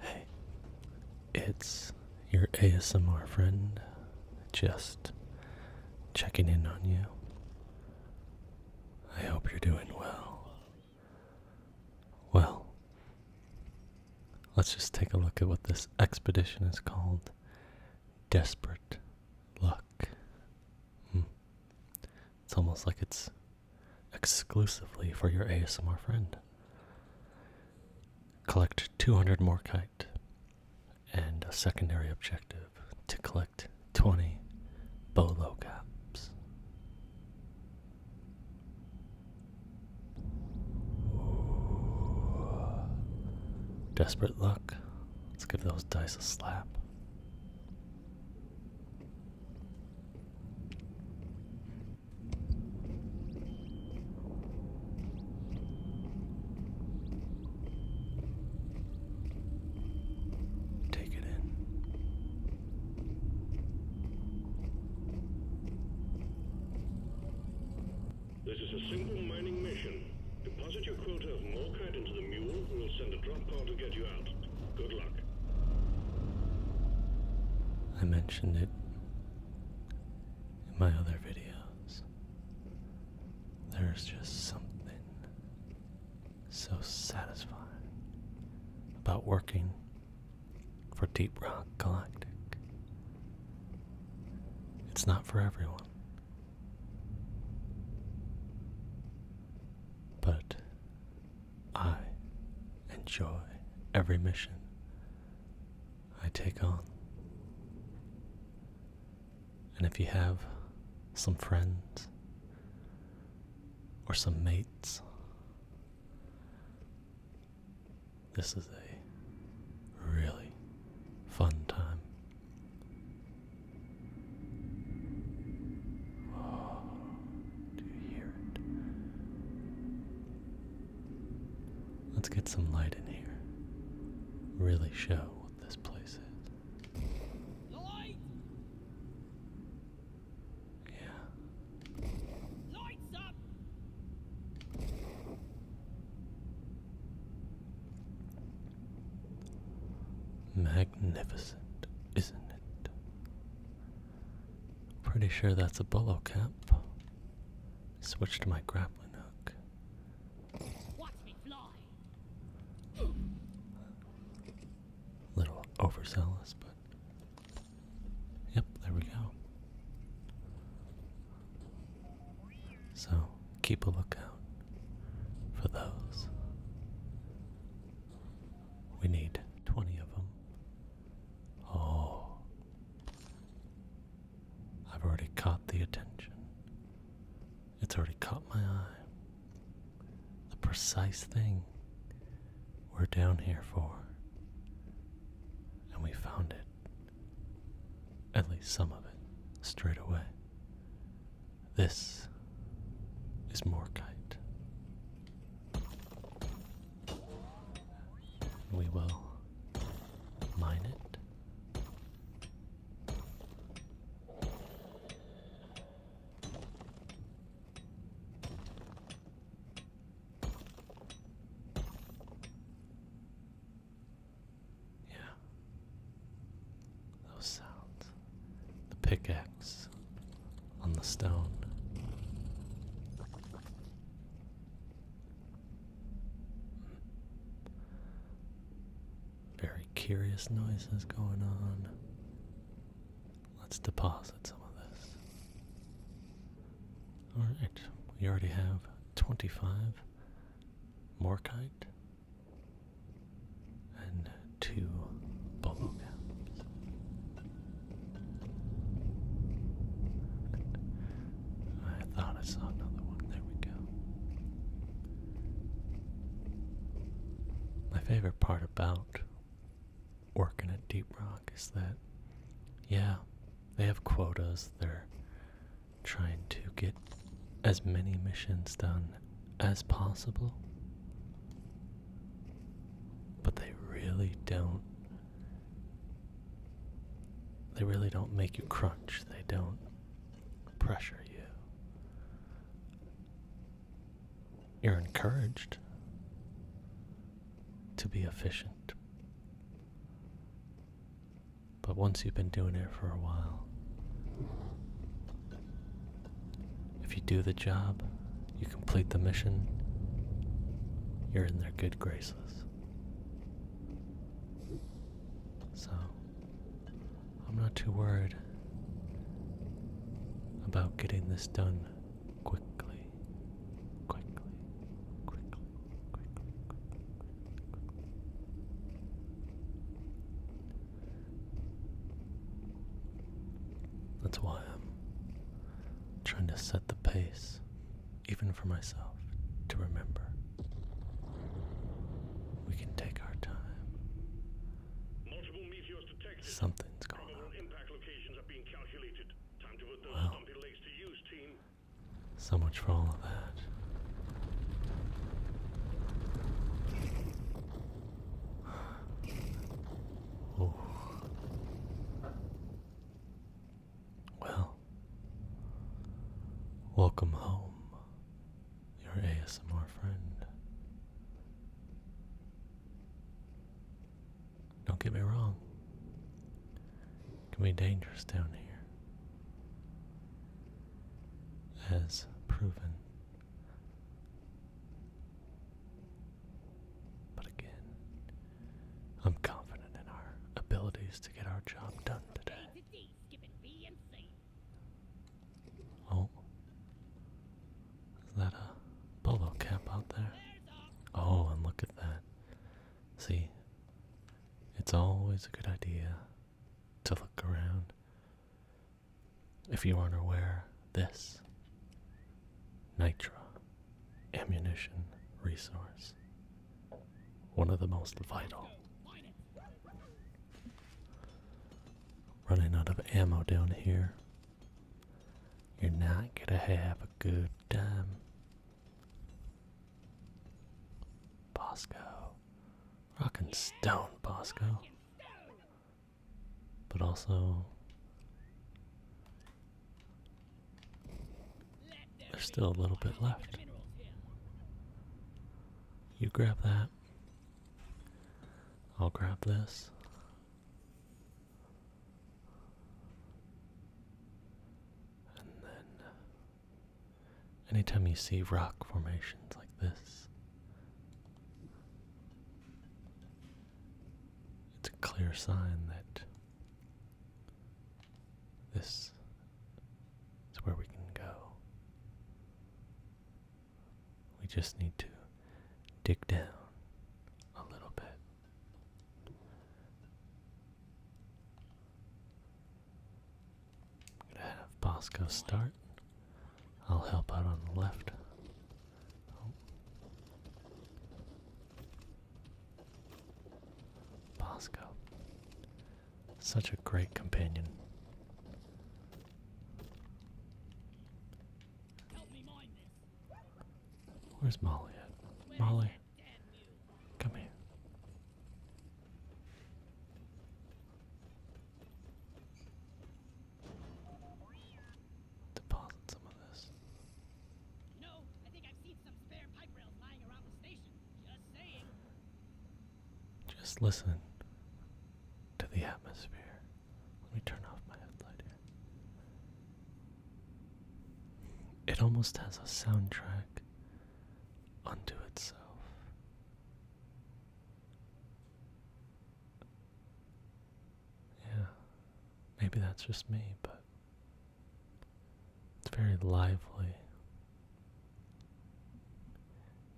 Hey, it's your ASMR friend, just checking in on you. I hope you're doing well. Well, let's just take a look at what this expedition is called Desperate Luck. Hmm. It's almost like it's exclusively for your ASMR friend. Collect 200 more kite and a secondary objective to collect 20 bolo caps. Desperate luck. Let's give those dice a slap. Take it in. This is a simple mining mission. Deposit your quota of morkite into the mule, we'll send a drop car to get you out. I mentioned it in my other videos. There's just something so satisfying about working for Deep Rock Galactic. It's not for everyone. But I enjoy every mission I take on. And if you have some friends or some mates, this is a really fun time. Let's get some light in here. Really show what this place is. light! Yeah. Lights up! Magnificent, isn't it? Pretty sure that's a bolo cap. Switch to my grappling hook. Watch me fly. little overzealous, but yep, there we go. So keep a lookout for those. We need 20 of them. Oh. I've already caught the attention. It's already caught my eye. The precise thing we're down here for. And we found it. At least some of it, straight away. This is Morkite. We will mine it. Yeah, those sounds the pickaxe on the stone. Very curious noises going on. Let's deposit some of this. Alright, we already have 25 morkite and to bubble I thought I saw another one. There we go. My favorite part about working at Deep Rock is that, yeah, they have quotas. They're trying to get as many missions done as possible. But they really don't. They really don't make you crunch. They don't pressure you. You're encouraged to be efficient. But once you've been doing it for a while, if you do the job, you complete the mission, you're in their good graces. So, I'm not too worried about getting this done quickly, quickly, quickly, quickly, quickly, quickly. That's why I'm trying to set the pace, even for myself, to remember. We can take our time. Something's going on. Well, so much for all of that. Oh. Well, welcome home, your ASMR friend. Don't get me wrong, it can be dangerous down here, as proven but again, I'm confident in our abilities to get our job done today. Oh, is that a bolo cap out there? Oh, and look at that. See, it's always a good idea to look around if you aren't aware, this Nitra ammunition resource, one of the most vital. Running out of ammo down here. You're not gonna have a good time. Bosco. Rockin' stone, Bosco but also there's still a little bit left. You grab that. I'll grab this. And then, anytime you see rock formations like this, it's a clear sign that this is where we can go. We just need to dig down a little bit. gonna have Bosco start. I'll help out on the left. Oh. Such a great companion. Where's Molly Molly, come here deposit some of this. Just listen to the atmosphere. Let me turn off my headlight here. It almost has a soundtrack unto itself. Yeah, maybe that's just me, but it's very lively.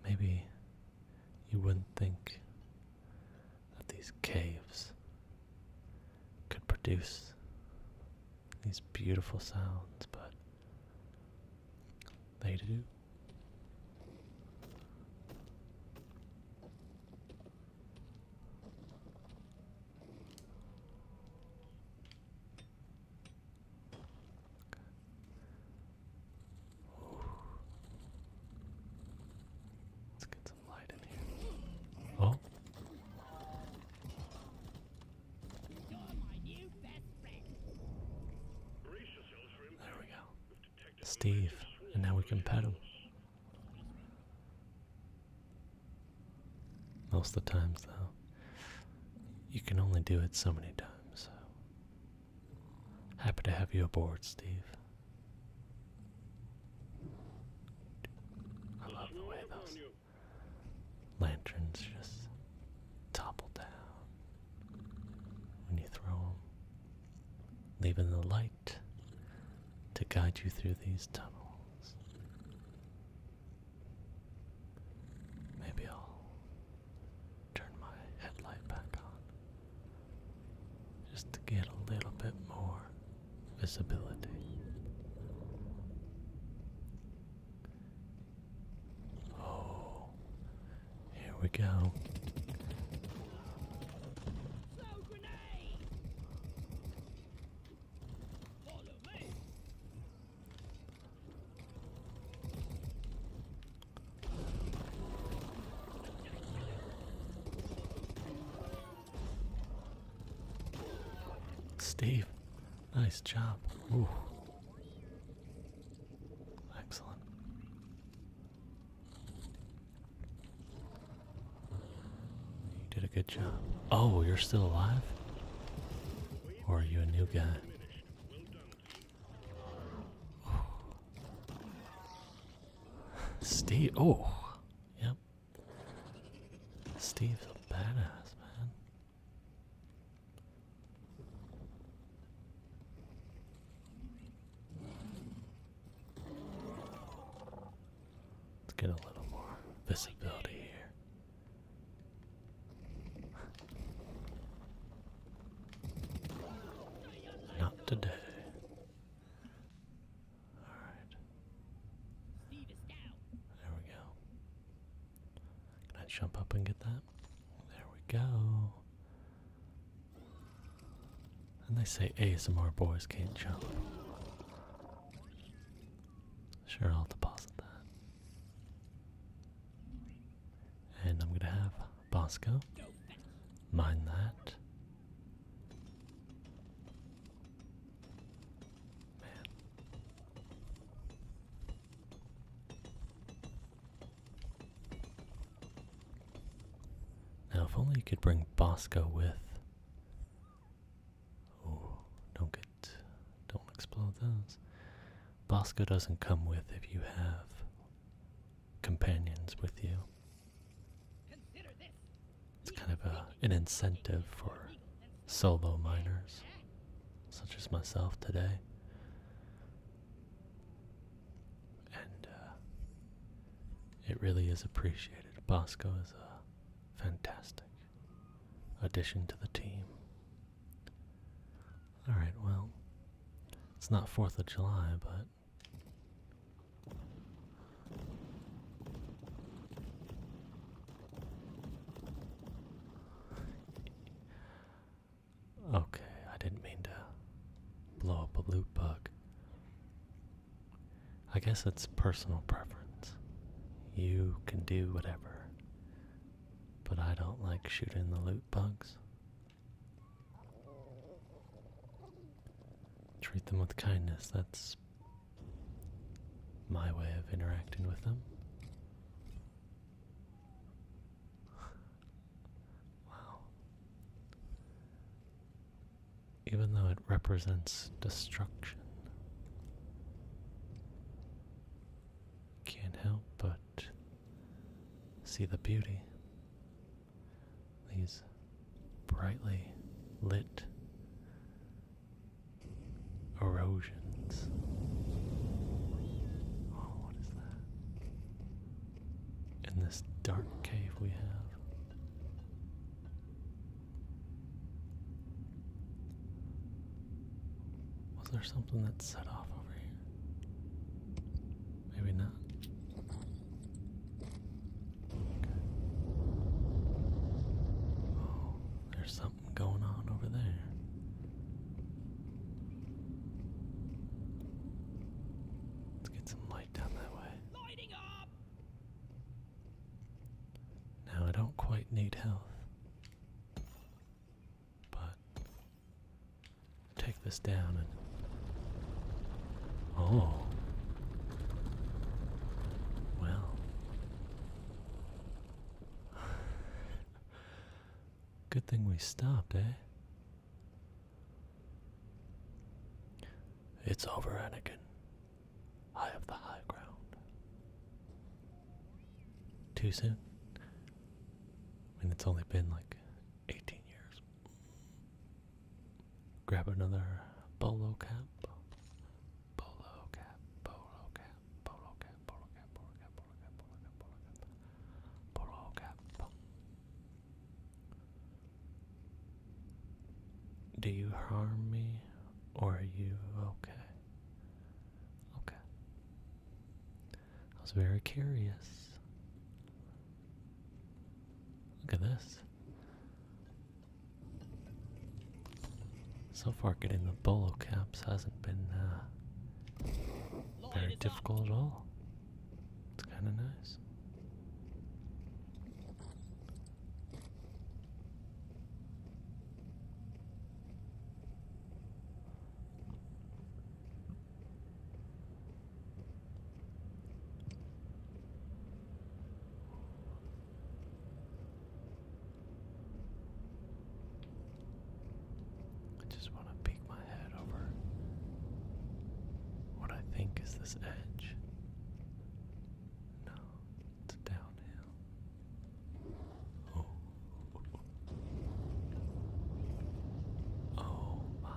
Maybe you wouldn't think that these caves could produce these beautiful sounds, but they do. Let's get some light in here. Oh. There we go. Steve, and now we can pet him. Most of the times, though, you can only do it so many times. So. Happy to have you aboard, Steve. I love the way those lanterns just topple down when you throw them leaving the light to guide you through these tunnels. Maybe I'll turn my headlight back on just to get a little bit more visibility. Oh, here we go. Steve, nice job. Excellent. You did a good job. Oh, you're still alive? Or are you a new guy? Steve, oh, yep. Steve's a badass, man. Let's get a little more visibility here. Not today. Alright. There we go. Can I jump up and get that? There we go. And they say ASMR boys can't jump. Sure, I'll deposit that. And I'm gonna have Bosco. Mind that. Man. Now, if only you could bring Bosco with. Oh, don't get, don't explode those. Bosco doesn't come with if you have companions with you. It's kind of a, an incentive for solo miners, such as myself today and uh, it really is appreciated. Bosco is a fantastic addition to the team. All right, well, it's not Fourth of July, but. Okay, I didn't mean to blow up a loot bug. I guess it's personal preference. You can do whatever. But I don't like shooting the loot bugs. Treat them with kindness. That's my way of interacting with them. wow even though it represents destruction. Can't help but see the beauty. These brightly lit erosions. Oh, what is that? in this dark cave we have. Was there something that set off over here? Maybe not. Oh, there's something going on over there. Let's get some light down that way. Now I don't quite need health, but take this down and. Oh. Well. Good thing we stopped, eh? It's over, Anakin. I have the high ground. Too soon? I mean, it's only been like 18 years. Grab another bolo cap. Bolo cap, bolo cap, bolo cap, bolo cap, bolo cap, bolo cap, bolo cap, bolo cap, bolo cap. Do you harm me or are you okay? Okay. I was very curious. Look at this. So far, getting the bolo caps hasn't been uh, very difficult at all. It's kind of nice. I just want to peek my head over what I think is this edge. No, it's downhill. Oh, oh my.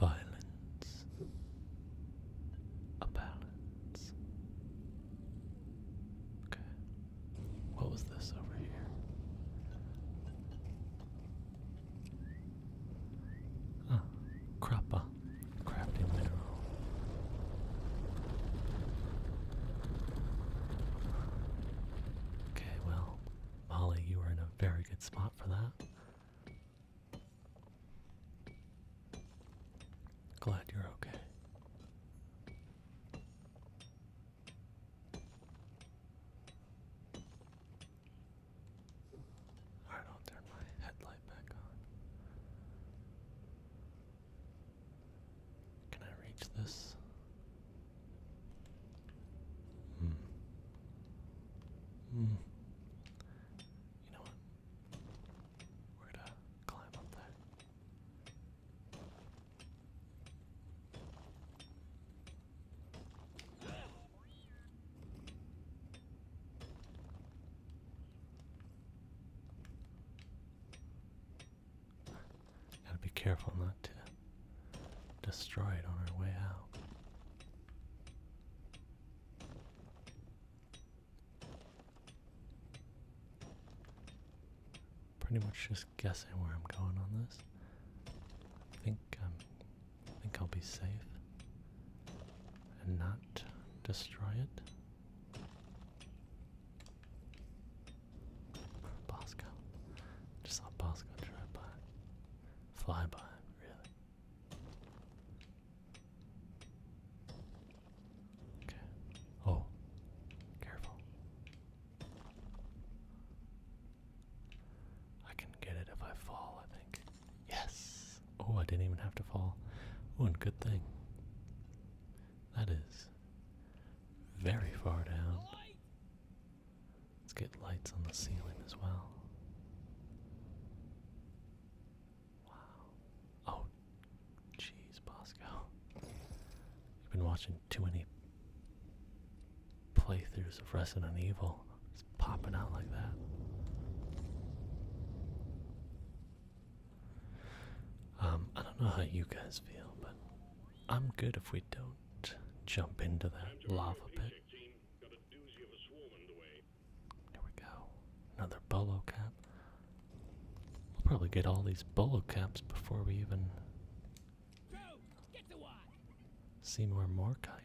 Violence, balance. Okay, what was this over here? Ah, crappa, crafting mineral. Okay, well, Molly, you were in a very good spot for that. Glad you're okay. Alright, I'll turn my headlight back on. Can I reach this? Hmm. Hmm. You know what? We're gonna climb up there. Gotta be careful not to destroy it on our way out. Pretty much just guessing where I'm going on this. I think I'm I think I'll be safe and not destroy it. Bosco. Just saw Bosco drive by. Fly by, really. Okay. Oh, careful. I can get it if I fall, I think. Yes! Oh, I didn't even have to fall. One good thing. That is very far down. Let's get lights on the ceiling as well. Wow. Oh, jeez, Bosco. You've been watching too many playthroughs of Resident Evil. It's popping out like that. Um, I don't know how you guys feel, but I'm good if we don't jump into that lava pit. There we go. Another bolo cap. We'll probably get all these bolo caps before we even see more Morkai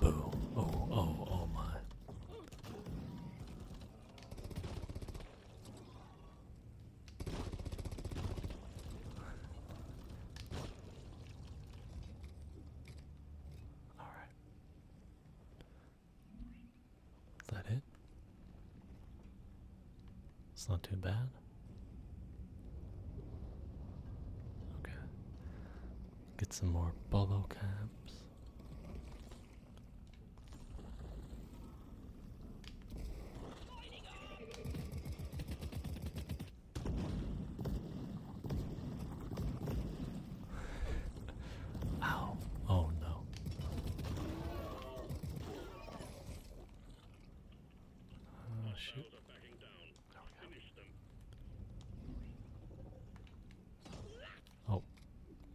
Boom. Oh, oh, oh my. All right. Is that it? It's not too bad. Okay. Get some more bolo caps. Ow. Oh no. Oh shoot. There we go. Oh.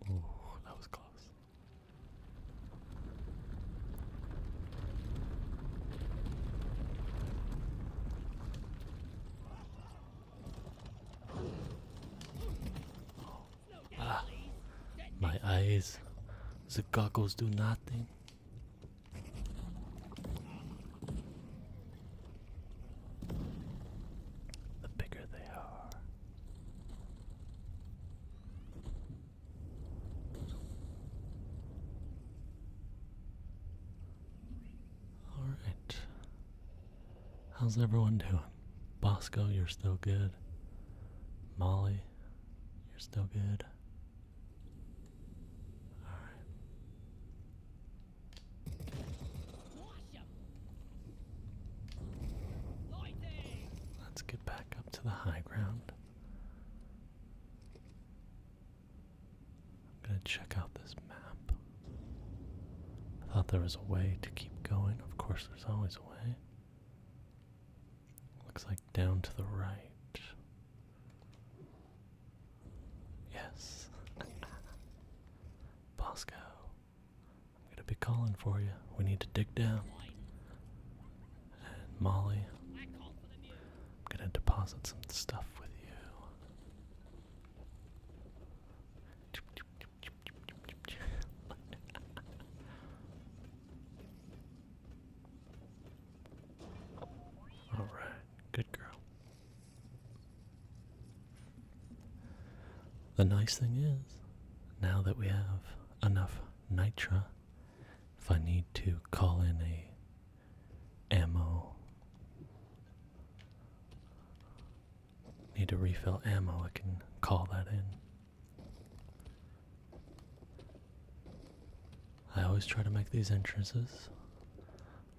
Ooh, that was close. Ah, my eyes. The goggles do nothing. The bigger they are. All right. How's everyone doing? Bosco, you're still good. Molly, you're still good. Alright. Let's get back up to the high ground. I'm going to check out this map. I thought there was a way to keep going. Of course, there's always a way. Looks like down to the right. Yes. Bosco. I'm going to be calling for you. We need to dig down. And Molly, I'm going to deposit some stuff with you. All right, good girl. The nice thing is, now that we have enough nitra, if I need to call in a ammo Need to refill ammo, I can call that in. I always try to make these entrances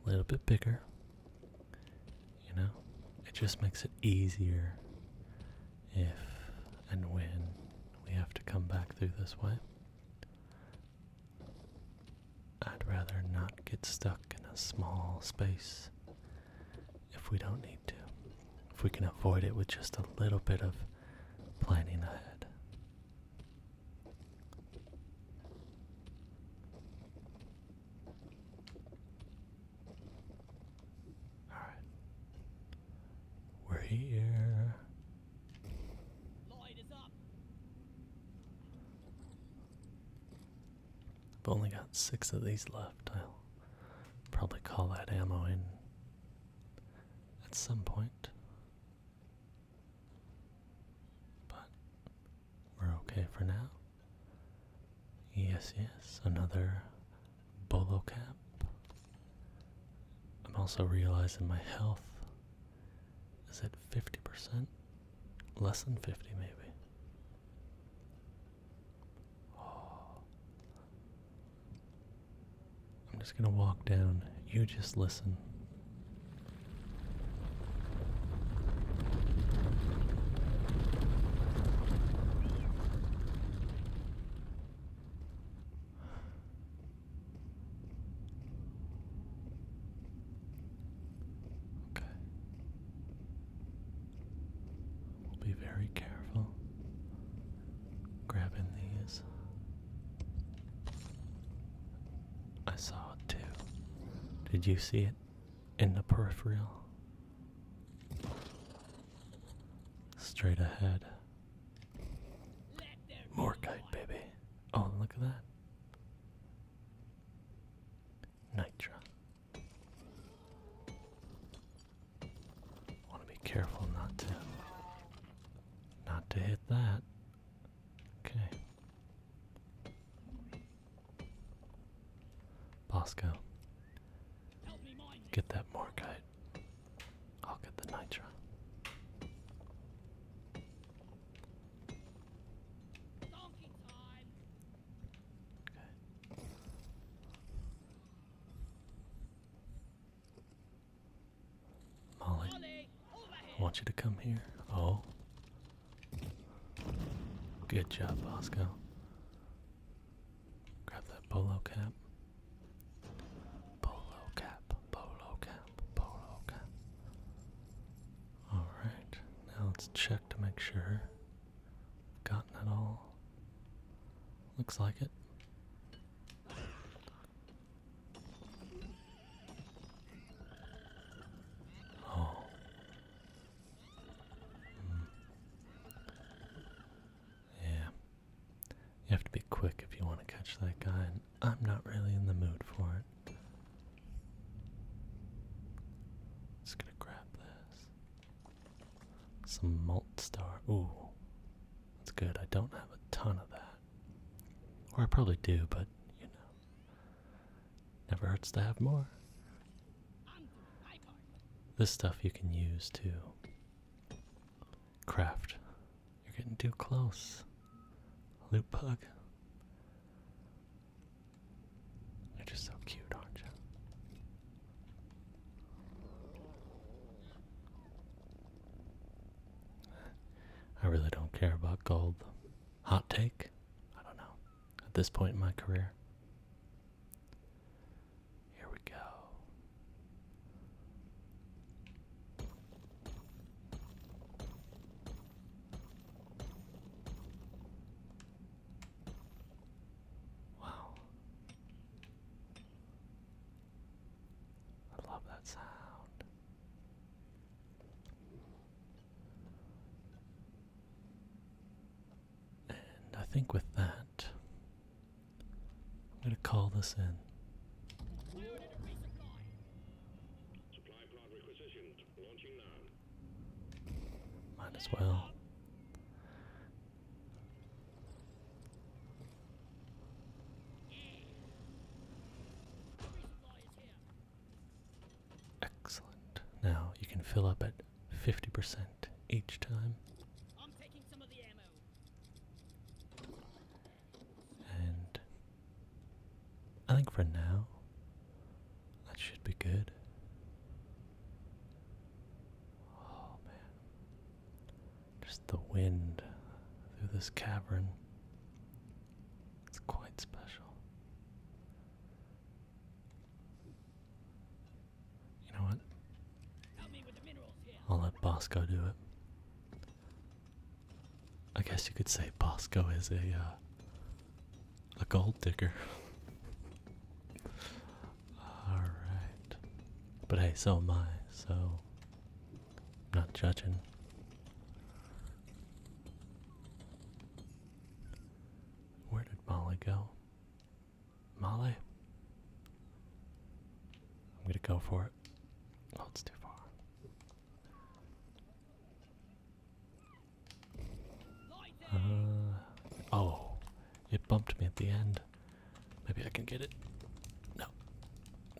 a little bit bigger. You know, it just makes it easier if and when we have to come back through this way. I'd rather not get stuck in a small space if we don't need to. If we can avoid it with just a little bit of planning ahead. All right. We're here. I've only got six of these left. I'll probably call that ammo in at some point. But we're okay for now. Yes, yes, another bolo cap. I'm also realizing my health is at 50%, less than 50 maybe. I'm just going to walk down. You just listen. Okay. We'll be very careful grabbing these. I saw it Did you see it in the peripheral? Straight ahead. More baby. Oh, look at that. Nitra. Want to be careful not to not to hit that. Okay. Bosco. Get that Morkite. I'll get the nitro. Molly, I want you to come here. Oh. Good job, Bosco. Grab that polo cap. Polo cap, polo cap, polo cap. Alright, now let's check to make sure gotten it all. Looks like it. Oh. Hmm. Yeah. You have to be quick if you want to catch that guy, I'm not really in the mood for it. Just gonna grab this. Some malt star. Ooh, that's good. I don't have a ton of that. Or I probably do, but you know, never hurts to have more. This stuff you can use to craft. You're getting too close. loot bug. You're just so cute, aren't you? I really don't care about gold. Hot take? I don't know. At this point in my career. Here we go. Wow. I love that sound. And I think with that, I'm going to call this in. Might as well. Excellent. Now you can fill up at 50% each time. And I think for now that should be good. Oh man. Just the wind through this cavern. It's quite special. You know what? I'll let Bosco do it. I guess you could say Bosco is a uh, a gold digger. Alright. But hey, so am I, so I'm not judging. Where did Molly go? Molly? I'm gonna go for it. Oh, it's too far. Uh, oh, it bumped me at the end. Maybe I can get it. No.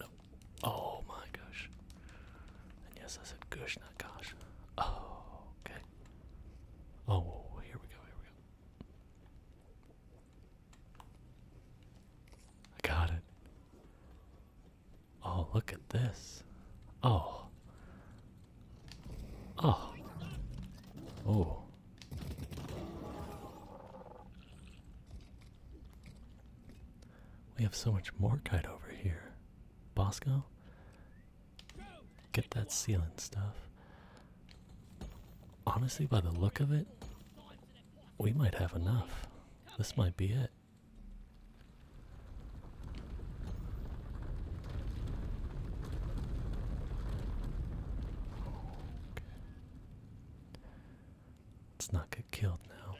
No. Oh my gosh. yes, I said gosh, not gosh. Oh, okay. Oh, here we go, here we go. I got it. Oh, look at this. Oh. Oh. Oh. We have so much more kite over here. Bosco? Get that ceiling stuff. Honestly, by the look of it, we might have enough. This might be it. Let's not get killed now.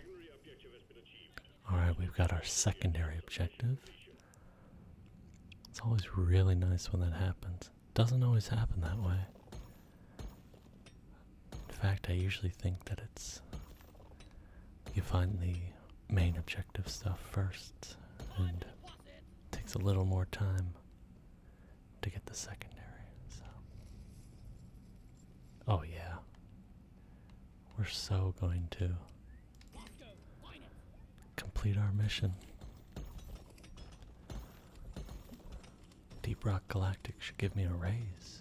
Alright, we've got our secondary objective. It's always really nice when that happens. Doesn't always happen that way. In fact, I usually think that it's. You find the main objective stuff first, and Takes a little more time to get the secondary. So. Oh yeah. We're so going to complete our mission. Deep Rock Galactic should give me a raise.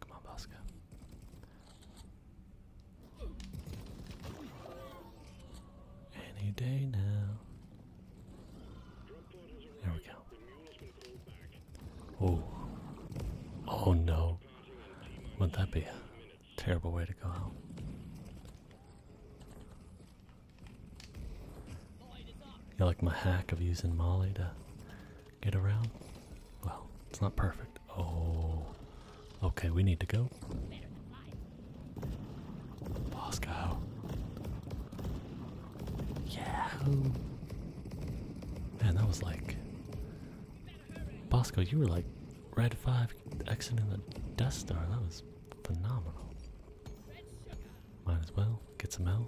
Come on, Bosco. Any day now. There we go. Oh. Oh no. Wouldn't that be a terrible way to go out? You like my hack of using Molly to get around? Well, it's not perfect. Oh, okay, we need to go. Moscow. Yeah. Man, that was like. Bosco, you were like Red 5 exiting the Death Star. That was phenomenal. Might as well get some help.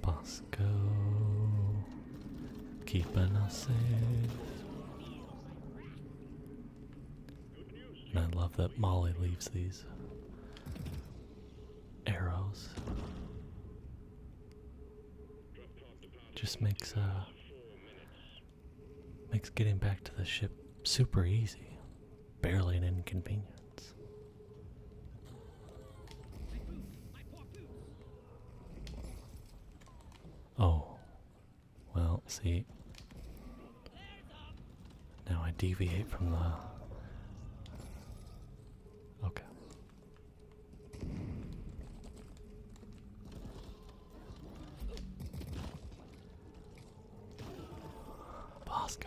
Bosco, keeping us safe. And I love that Molly leaves these arrows. Just makes uh makes getting back to the ship super easy barely an inconvenience. Oh, well, see, now I deviate from the. Okay. Bosco.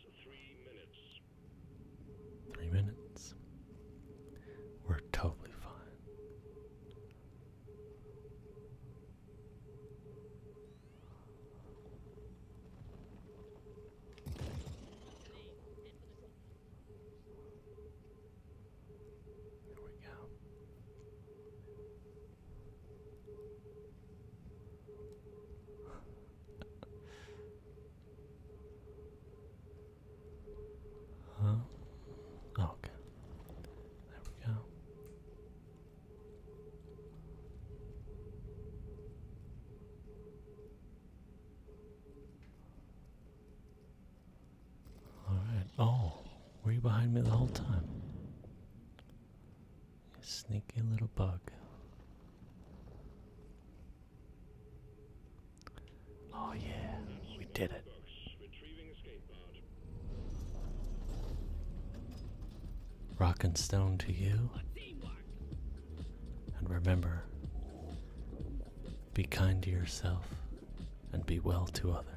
three minutes. Three minutes. We're totally fine. There we go huh? Oh, okay. There we go. All right. Oh, were you behind me the whole time? sneaky little bug. Oh yeah, we did it. Rock and stone to you. And remember, be kind to yourself and be well to others.